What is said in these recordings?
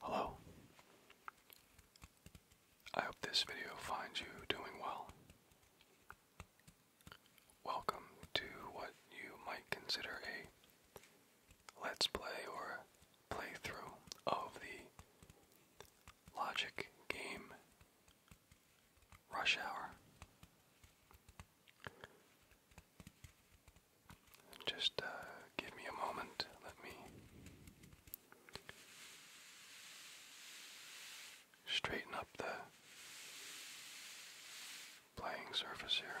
Hello. I hope this video finds you doing well. Welcome to what you might consider a let's play or playthrough of the Logic game Rush hour. Just uh, give me a moment. Let me straighten up the playing surface here.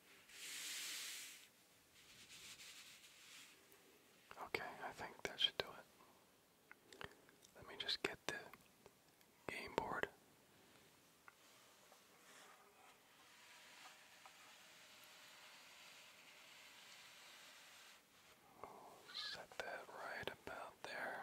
Okay, I think that should do it. Let me just get the game board. set that right about there.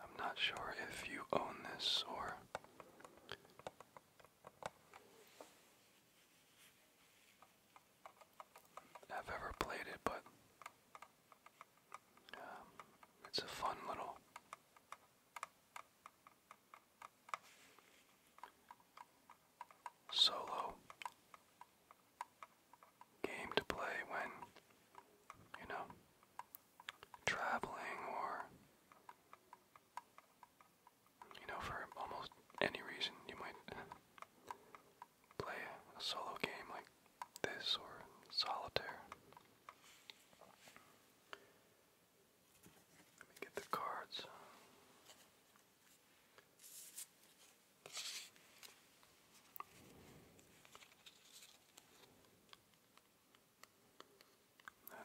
I'm not sure if you own this or have ever played it, but um, it's a fun little solo game to play when, you know, traveling or, you know, for almost any reason you might play a solo game like this or solitaire. Let me get the cards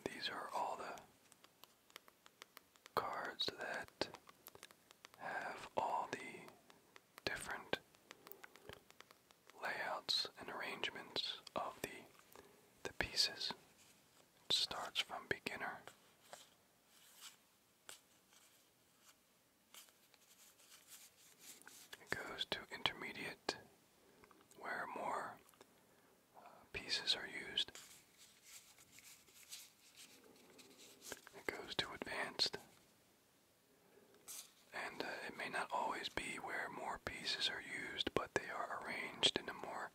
these are all the cards that have all the different layouts and arrangements of the the pieces. starts from beginner it goes to intermediate, where more uh, pieces are used. It goes to advanced, and uh, it may not always be where more pieces are used, but they are arranged in a more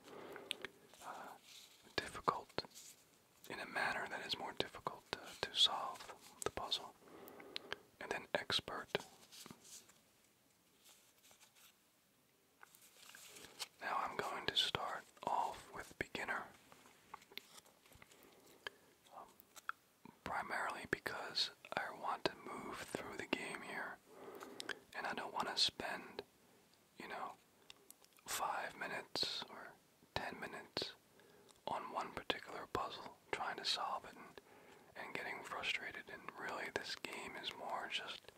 uh, difficult in a manner that is more difficult to, solve the puzzle. And then expert. Now I'm going to start off with beginner. Um, primarily because I want to move through the game here. And I don't want to spend you know, five minutes or ten minutes on one particular puzzle, trying to solve it and, getting frustrated. And really, this game is more just,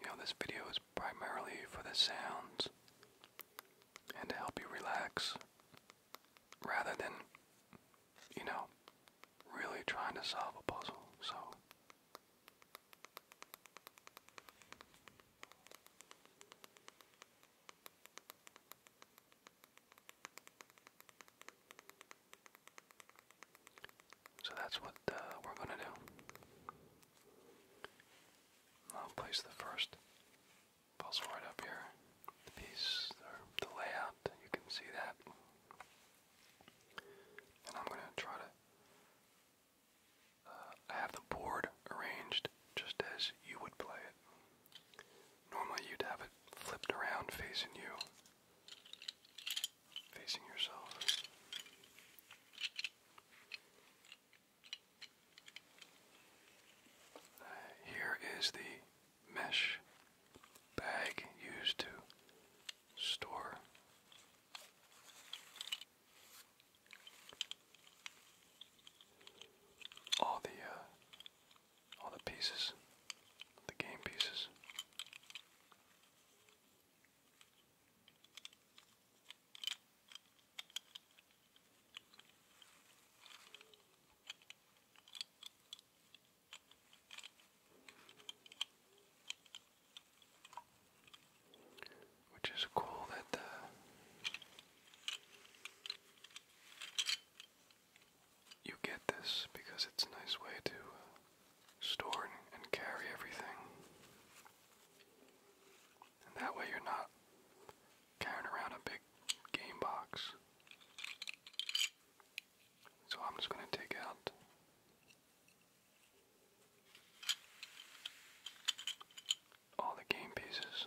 you know, this video is primarily for the sounds and to help you relax rather than, you know, really trying to solve a puzzle. So, so that's what uh, we're going to do. I'll place the first puzzle right up here. The piece, the layout, you can see that. And I'm going to try to uh, I have the board arranged just as you would play it. Normally you'd have it flipped around facing you, facing yourself. Uh, here is the mesh bag used to store all the uh, all the pieces, the game pieces. Which is cool that uh, you get this because it's a nice way to uh, store and, carry everything. that way you're not carrying around a big game box. So I'm just going to take out all the game pieces.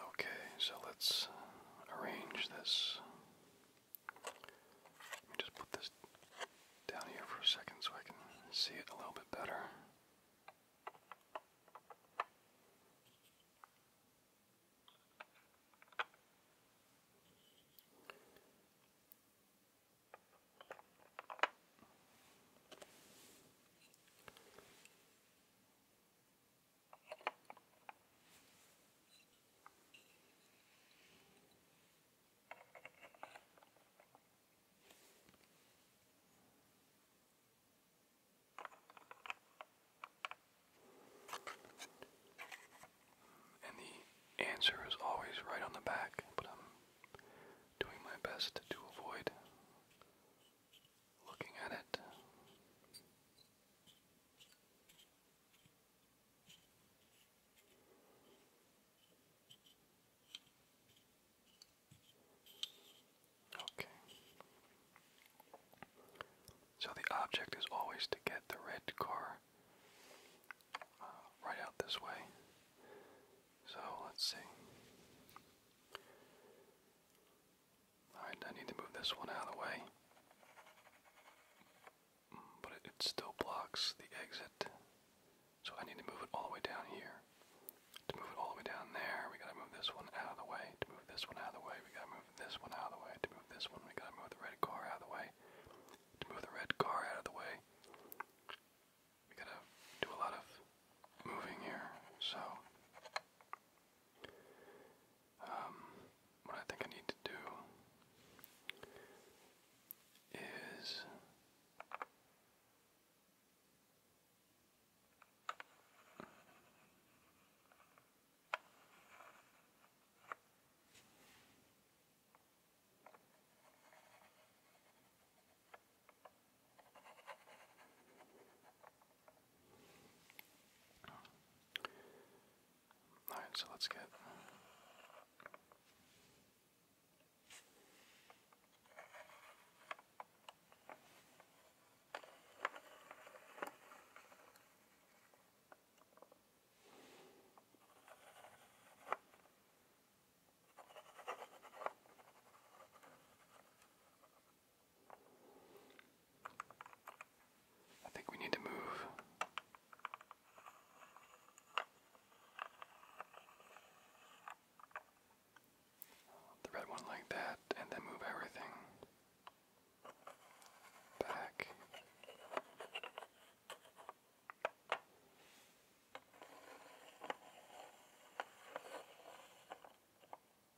Okay, so let's arrange this. just put this down here for a second so I can see it a little bit better. And the answer is always right on the back, but I'm doing my best to avoid looking at it. Okay. So the object is always to get the red car uh, right out this way. So let's see. Alright, I need to move this one out of the way. Mm, but it still blocks the exit. So I need to move it all the way down here. To move it all the way down there, we gotta move this one out of the way. To move this one out of the way, we gotta move this one out of the way. To move this one, we gotta move the red car out of the way. To move the red car out of the way, we gotta do a lot of moving here, so um, what I think I need to do is all right, so let's get I think we need to move. The red one like that, and then move everything back.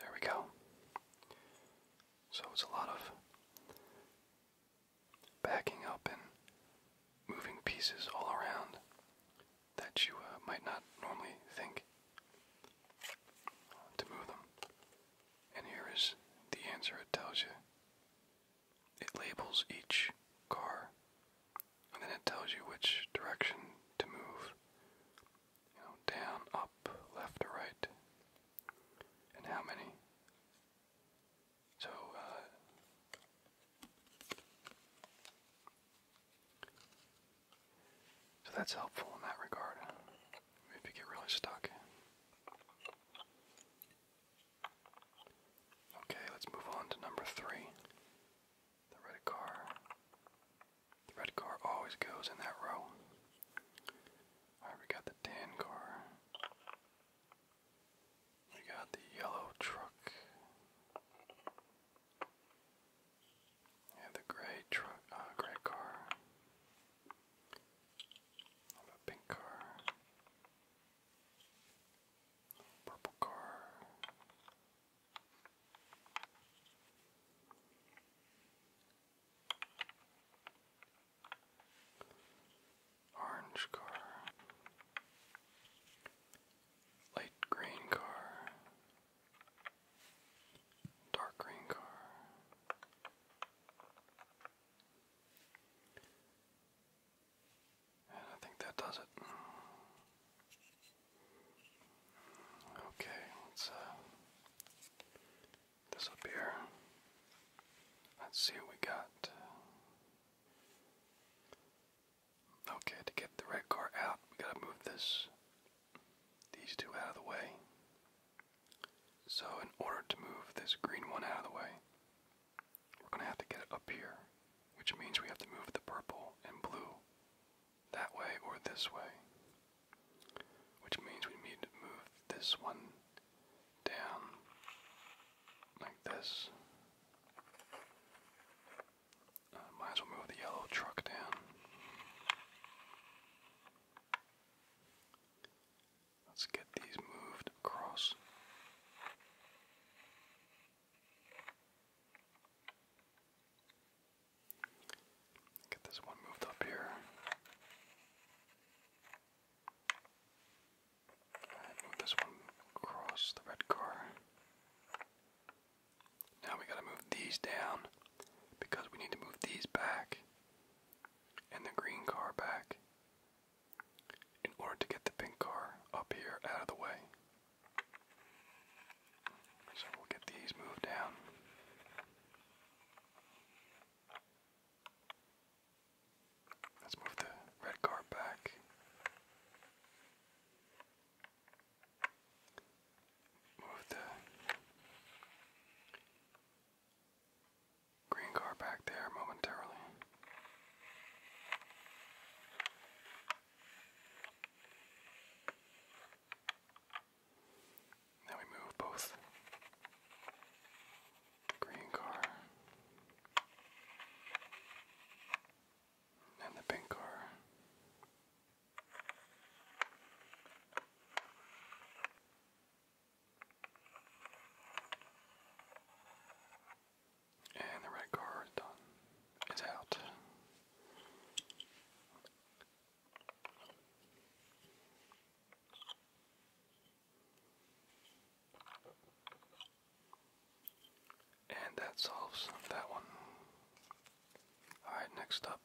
There we go. So it's a lot of backing up and moving pieces all around that you uh, might not normally think to move them. And here is the answer it tells you it labels each car and then it tells you which direction to move. You know, down, up, left, or right. And how many. So, uh, So that's helpful in that regard. If you get really stuck. Okay, let's move on to number three. The red car. The red car always goes in that row. we got the tan car. We got the yellow truck. We the gray truck, uh, gray car. a pink car. Purple car. Orange car. Light green car. Dark green car. And I think that does it. Okay, let's uh Let's see what we got. Okay, to get the red car out, we gotta move this these two out of the way. So in order to move this green one out of the way, we're going to have to get it up here, which means we have to move the purple and blue that way or this way, which means we need to move this one down like this. Uh, might as well move the yellow truck down. Let's get these moved across. Get this one moved up here. move this one across the red car. Now we gotta move these down because we need to move these back and the green car back in order to get the pink car up here out of the way. So we'll get these moved down. Let's move the red car back. Move the green car back there momentarily. Now we move both green car and the pink car and the red car is out. And that solves that one. Alright, next up.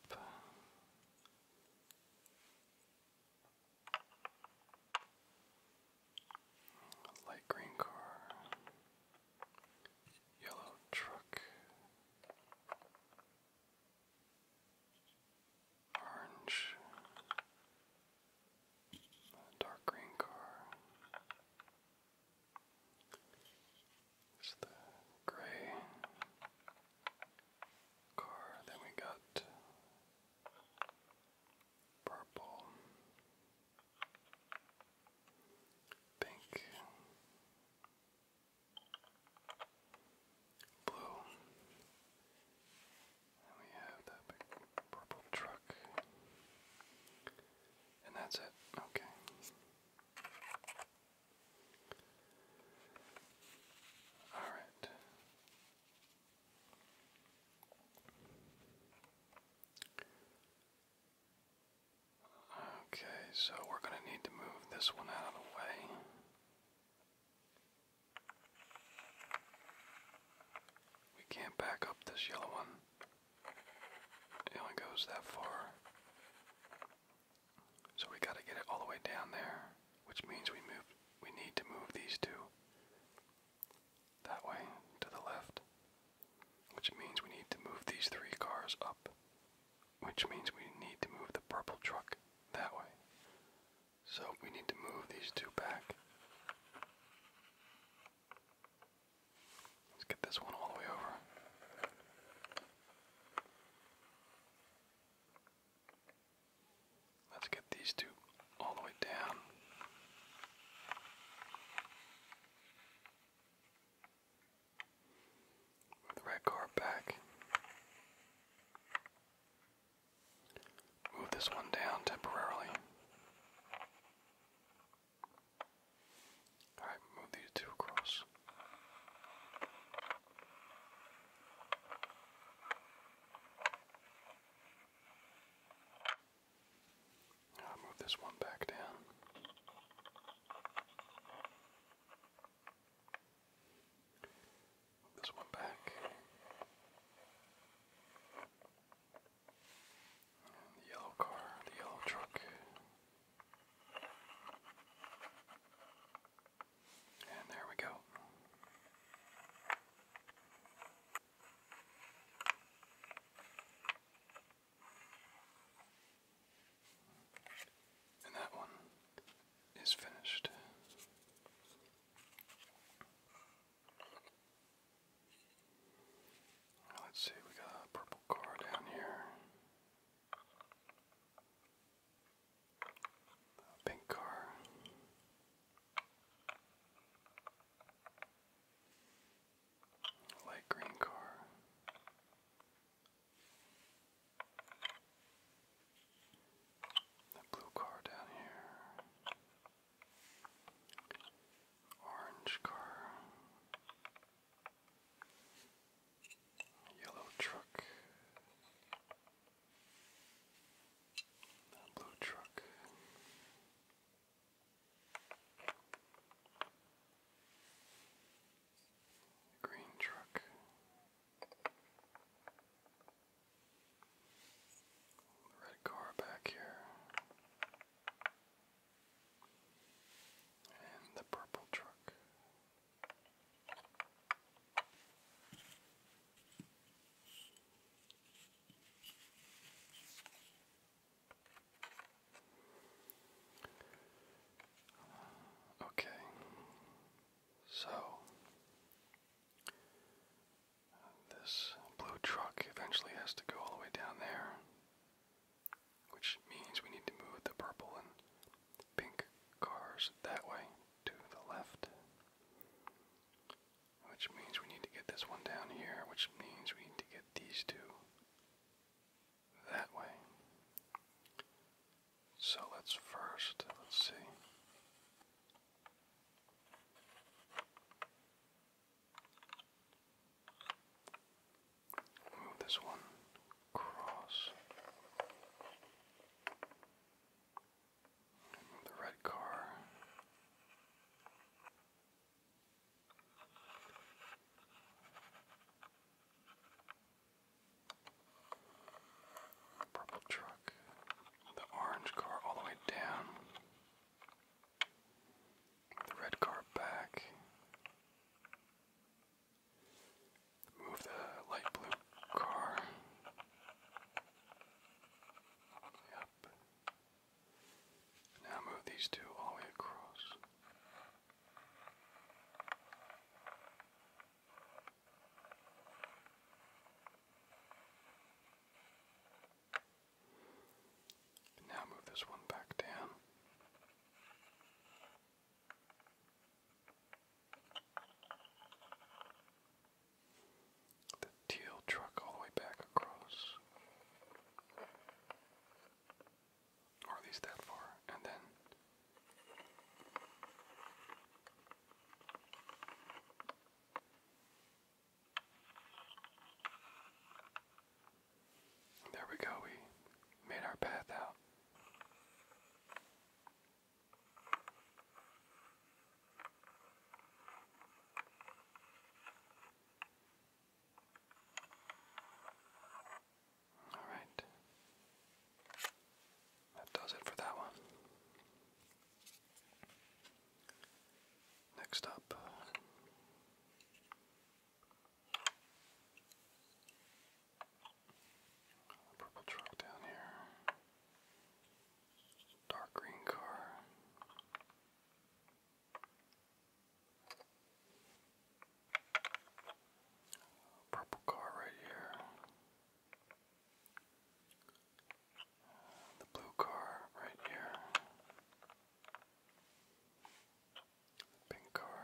Light green car. Yellow truck. Orange. Dark green car. It's the gray car. Then we got purple pink, blue, and we have that big purple truck, and that's it. Okay. All right. Okay, so we're going to need to move this one out of the way. We can't back up this yellow one, it only goes that far. So we got to get it all the way down there, which means we move we need to move these two that way to the left which means we need to move these three cars up, which means we need to move the purple truck that way. So we need to move these two back. Let's get this one all the way over. Let's get these two all the way down red card back. Move this one down temporarily. Alright, move these two across move this one back down. this one back. the yellow car, the yellow truck. And there we go. And that one is finished. Let's see, we got a purple car down here. A pink car. Light green car. The blue car down here. Orange car. Yellow truck. The blue truck. Green truck. red car back here. And the purple truck. Okay, so this blue truck eventually has to go all the way down there, which means we need to move the purple and pink cars that way to the left. Which means we need to get this one down here, which means we need to get these two that way. So let's first, let's see. Move this one across. the red car the purple truck, the orange car all the way down, the red car back. Move the light blue car. Yep. Now move these two all the way across. And now move this one back down. The teal truck all the way back across or at least that far, and then there we go, we made our path out. All right. That does it for that one. Next up. Uh, purple truck down here. Dark green car. Purple car right here. The blue car right here. pink car.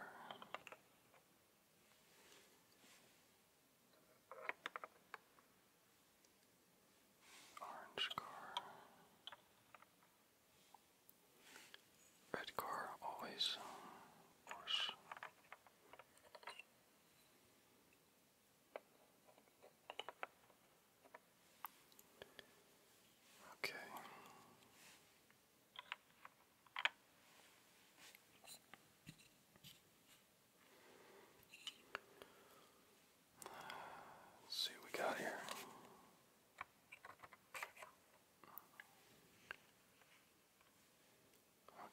Orange car. Red car always, Okay. Let's see what we got here.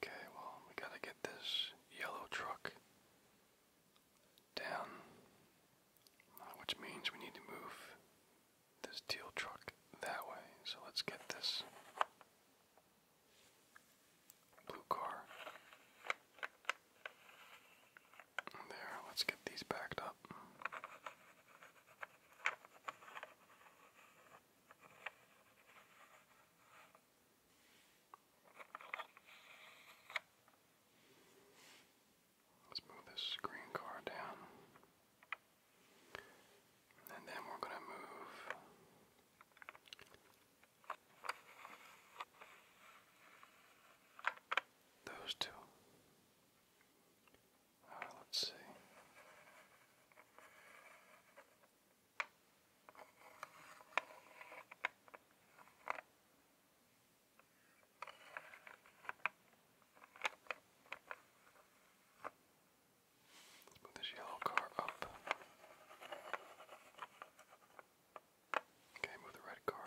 Okay, well, we gotta get this yellow truck down, which means we need to move this teal truck that way. So let's get this blue car. There, let's get these backed up. Let's move this screen car down. And then we're going to move those two let's see. move this yellow car up. Okay, move the red car.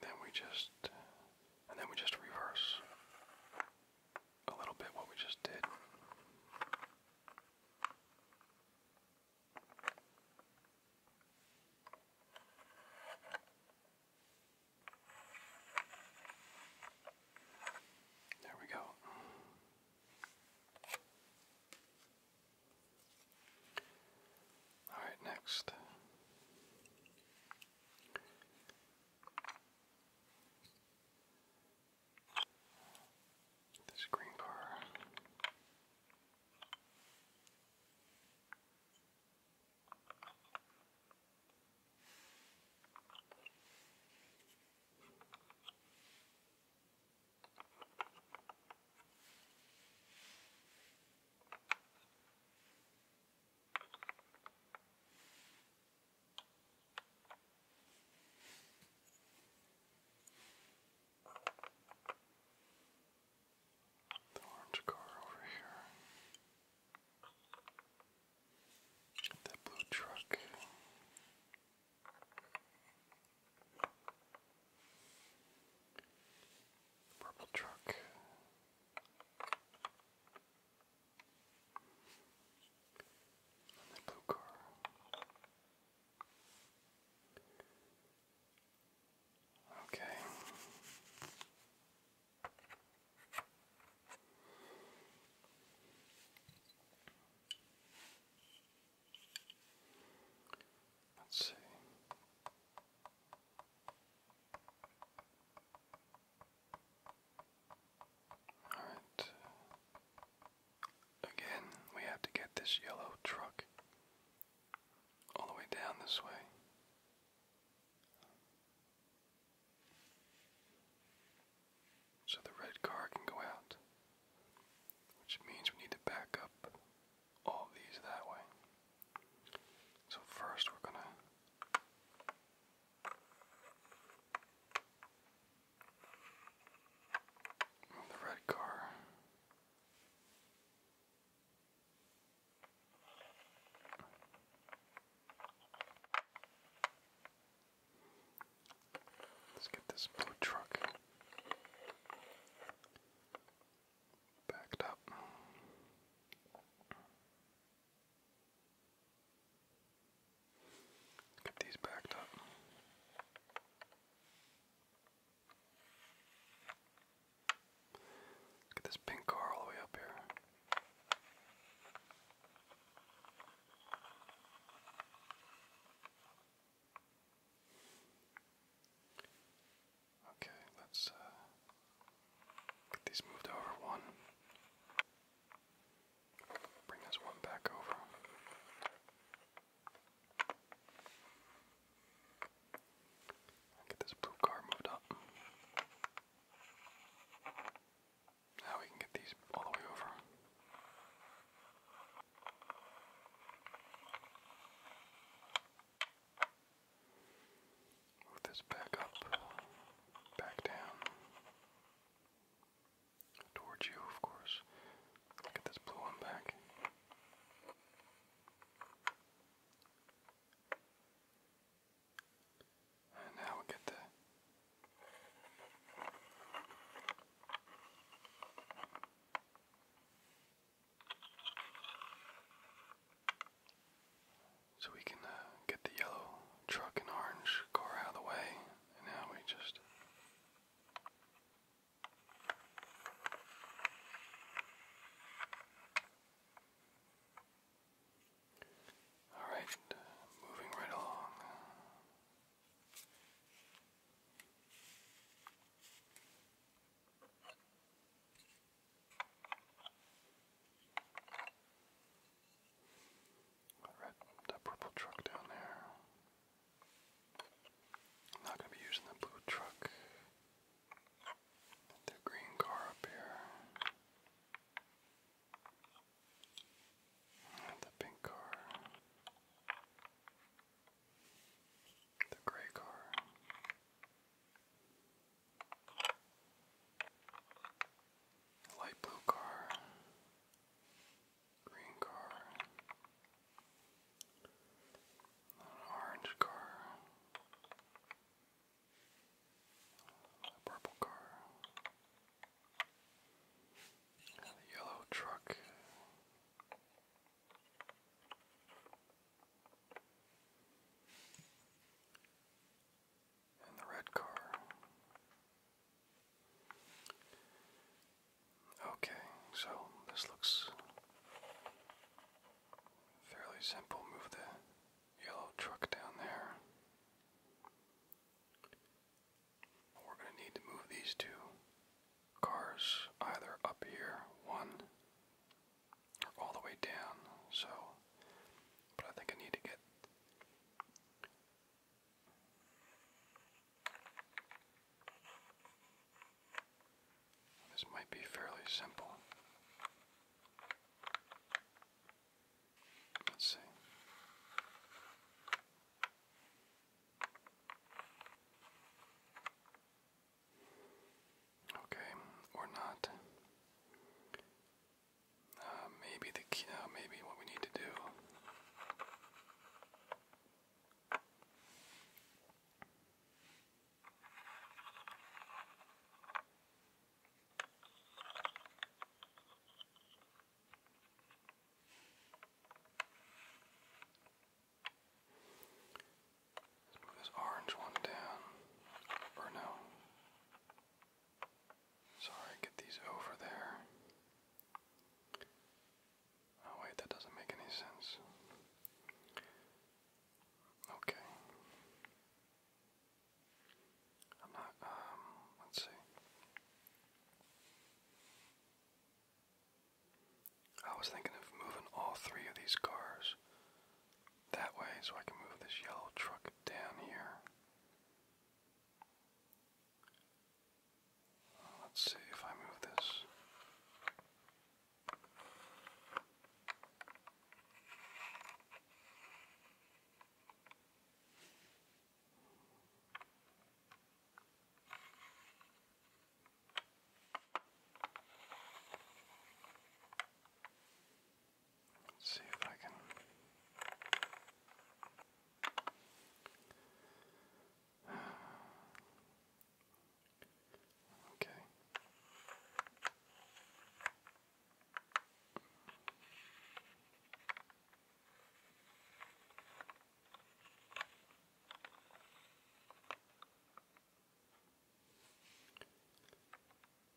Then we just, and then we just reverse a little bit what we just did. There we go. All right, next. This green car. The orange car over here. That blue truck. Purple truck. the blue car. Okay. Let's see. Alright. Again, we have to get this yellow truck all the way down this way. So the red car can go out, which means we need to back up all these that way. So first we're going to the red car. Let's get this blue truck backed up. Get these backed up. Get this pink car all the way up here. Okay, let's uh, get these moved over one. Bring this one back over. Get this blue car moved up. Now we can get these all the way over. Move this back up, back down. Towards you, of course. Get this blue one back. And now get the so we can uh, get the yellow truck and orange car out of the way, and now we just. Alright, moving right along. That red, that purple truck down there. I'm not gonna be using the blue truck. The green car up here. the pink car. The gray car. Light blue car, green car, orange car, purple car, yellow truck. And the red car. Okay, so this looks fairly simple. Move the yellow truck down there. We're going to need to move these two cars either up here, one, all the way down. So, but I think I need to get. This might be fairly simple. Let's see. Okay, or not. Uh, maybe the key, uh, maybe what we need to do let this orange one down. Or no. Sorry, get these over there. Oh, wait, that doesn't make any sense. Okay. I'm not, um, let's see. I was thinking of moving all three of these cars that way so I can move this yellow truck down here. Let's see if I move this. Let's see if I can. Okay.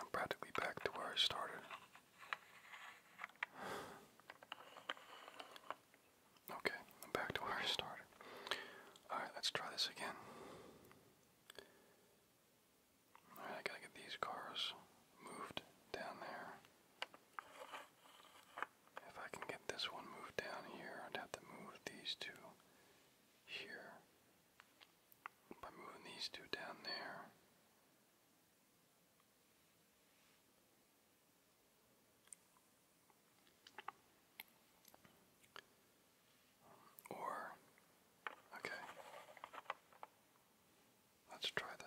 I'm practically back to where I started. Okay, back to where I started. Alright, let's try this again. Alright, I gotta get these cars moved down there. If I can get this one moved down here, I'd have to move these two here. By moving these two down there, or, okay, let's try this.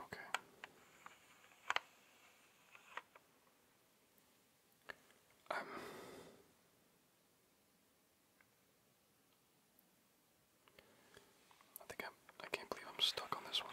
Okay. Um I think I'm I can't believe I'm stuck on this one.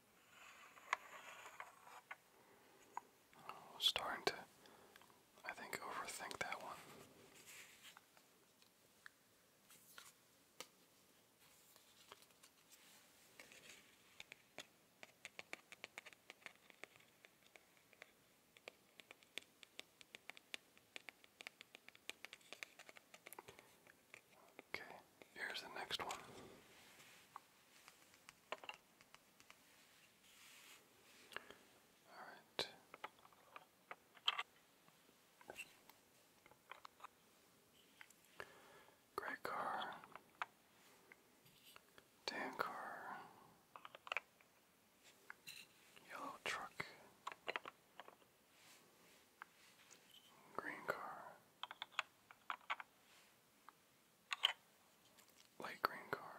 Oh, starting to, I think, overthink that one. Okay, here's the next one. All right. Great car. Dan car. Yellow truck. Green car. Light green car.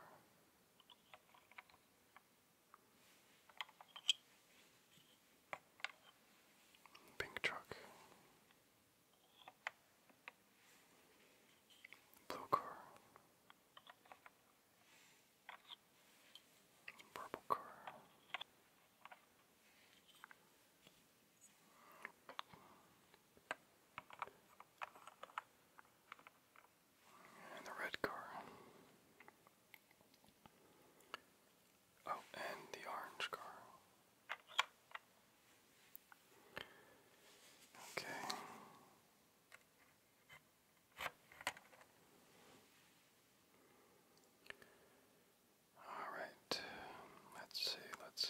Pink truck. Blue car. Purple car. And the red car. Oh, and the orange car. Okay. All right. Let's see. Let's see.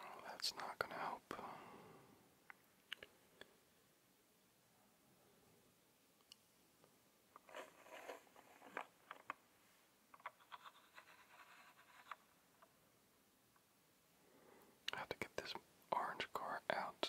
Oh, that's not going to help. have to get this orange car out.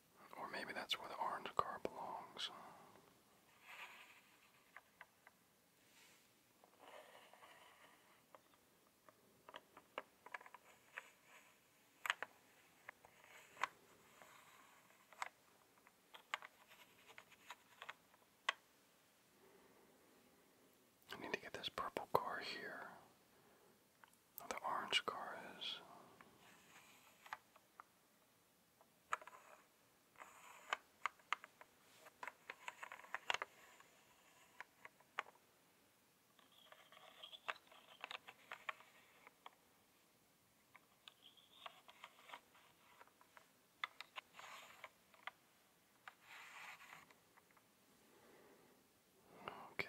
Or maybe that's where the orange car belongs. I need to get this purple car here the orange car is. Okay.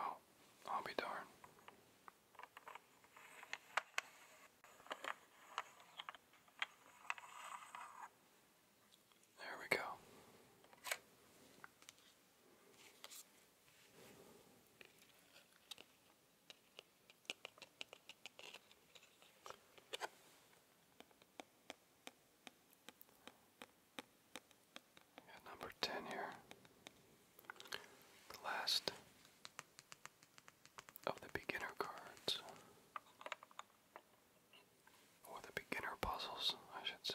Oh, I'll be darned. There we go. number 10 here. The last of the beginner cards. Or the beginner puzzles, I should say.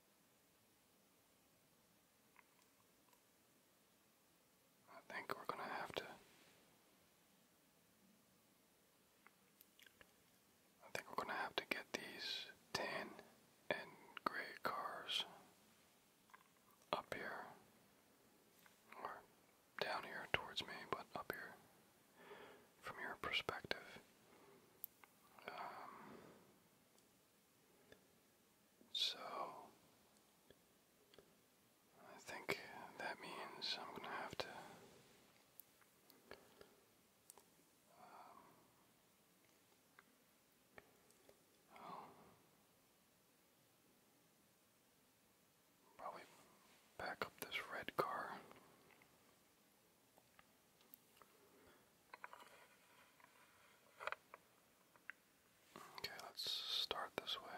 I think we're going to have to. I think we're going to have to get these tan and gray cars up here. Or down here towards me, but up here. From your perspective so, I think that means I'm going to have to um, probably back up this red car. Okay, let's start this way.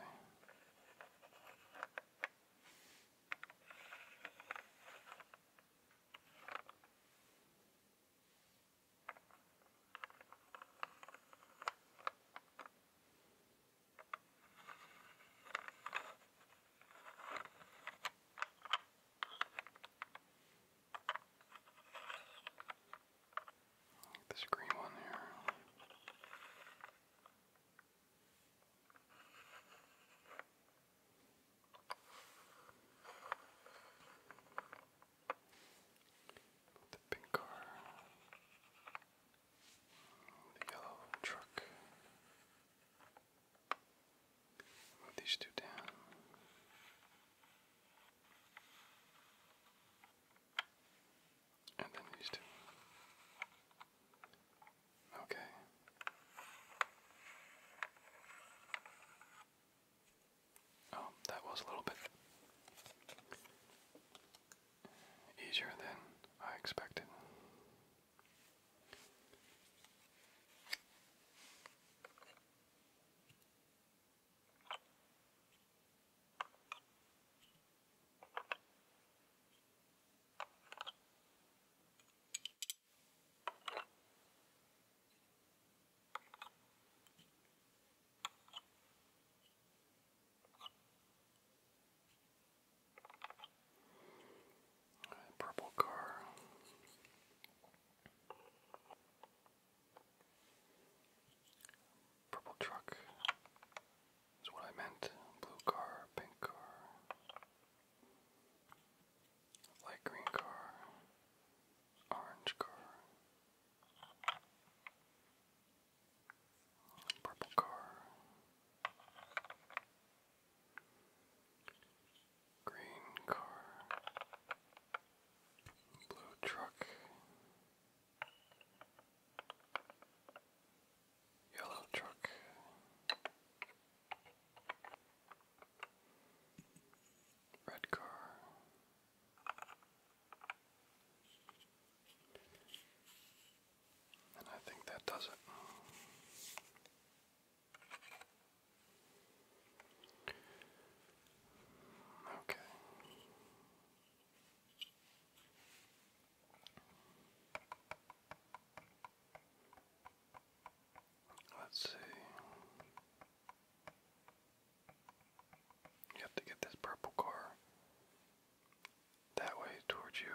Get this green one here. the pink car. The yellow truck. Move these two down. And then these two. Okay. Oh, that was a little bit easier than I expected. Purple car. Purple truck is what I meant. Blue car, pink car, light green car, orange car, purple car green car, blue truck, yellow truck. Red car, and I think that does it. Okay. Let's see. You have to get this purple car that way towards you.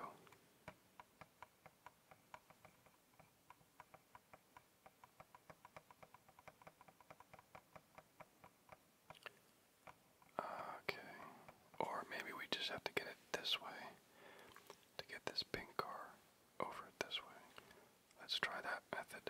Okay. Or maybe we just have to get it this way to get this pink car over it this way. Let's try that method.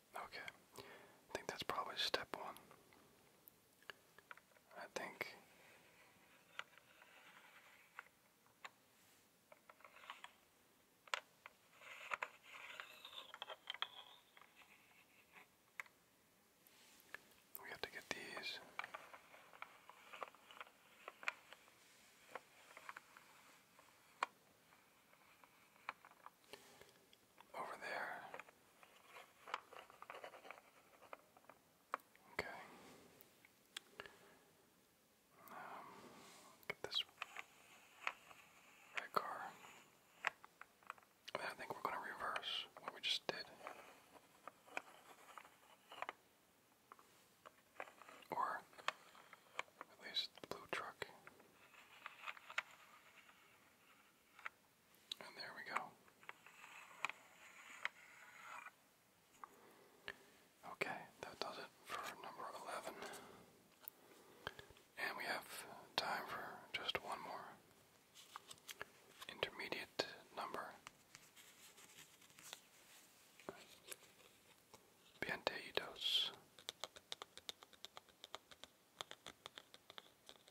Okay. I think that's probably step one. I think. We have to get these over there. Okay. Um, get this red car. I think we're going to reverse what we just did. Or at least the blue truck. And there we go. Okay, that does it for number 11. And we have time for just one more intermediate number. Pianteidos.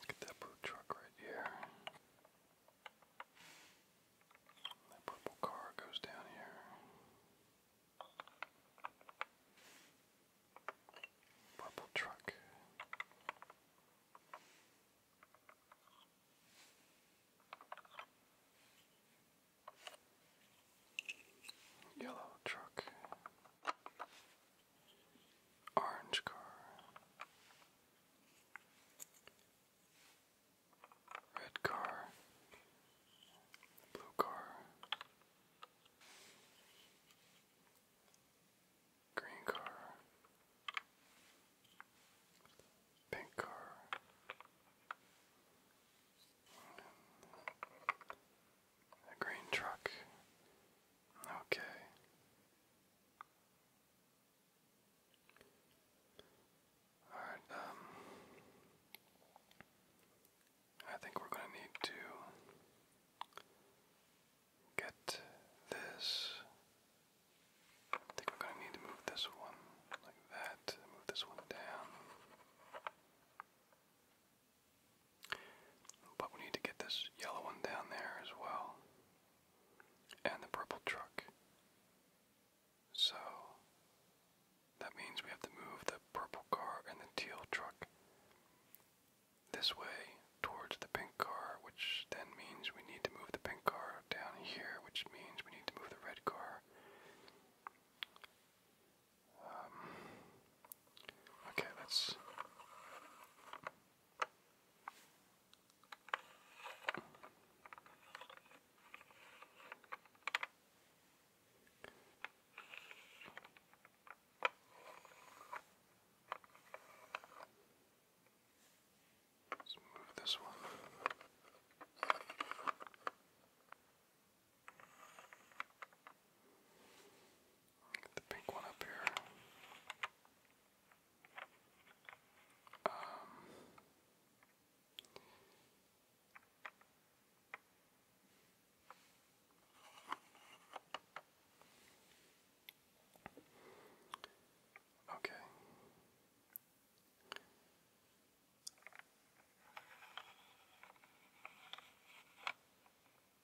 Look at that blue truck right here. That purple car goes down here. Purple truck. Yellow truck. Orange car. Red car. Blue car. Green car. Pink car. A green truck. Okay. Alright, um. I think we're going to need to get this. I think we're going to need to move this one like that, move this one down. But we need to get this yellow one down there as well. And the purple truck. So that means we have to move the purple car and the teal truck this way towards the pink car, which then means we need to move the pink car down here, which means we need to move the red car um, okay, let's. Let's move this one. Get the pink one up here. Um, okay. I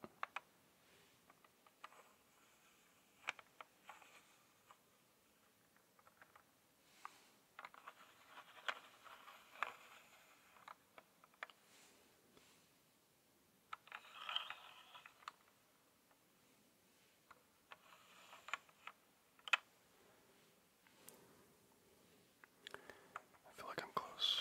feel like I'm close.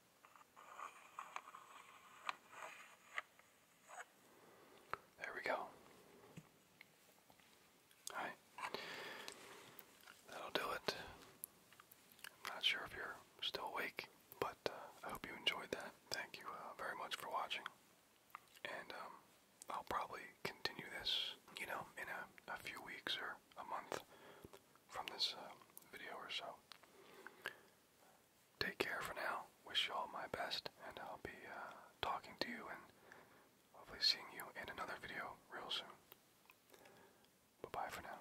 There we go. Alright. That'll do it. not sure if you're still awake, but uh, I hope you enjoyed that. Thank you uh, very much for watching. And um, I'll probably continue this, you know, in a, few weeks or a month from this uh, video or so take care for now. Wish you all my best, and I'll be uh, talking to you and hopefully seeing you in another video real soon. Bye bye for now.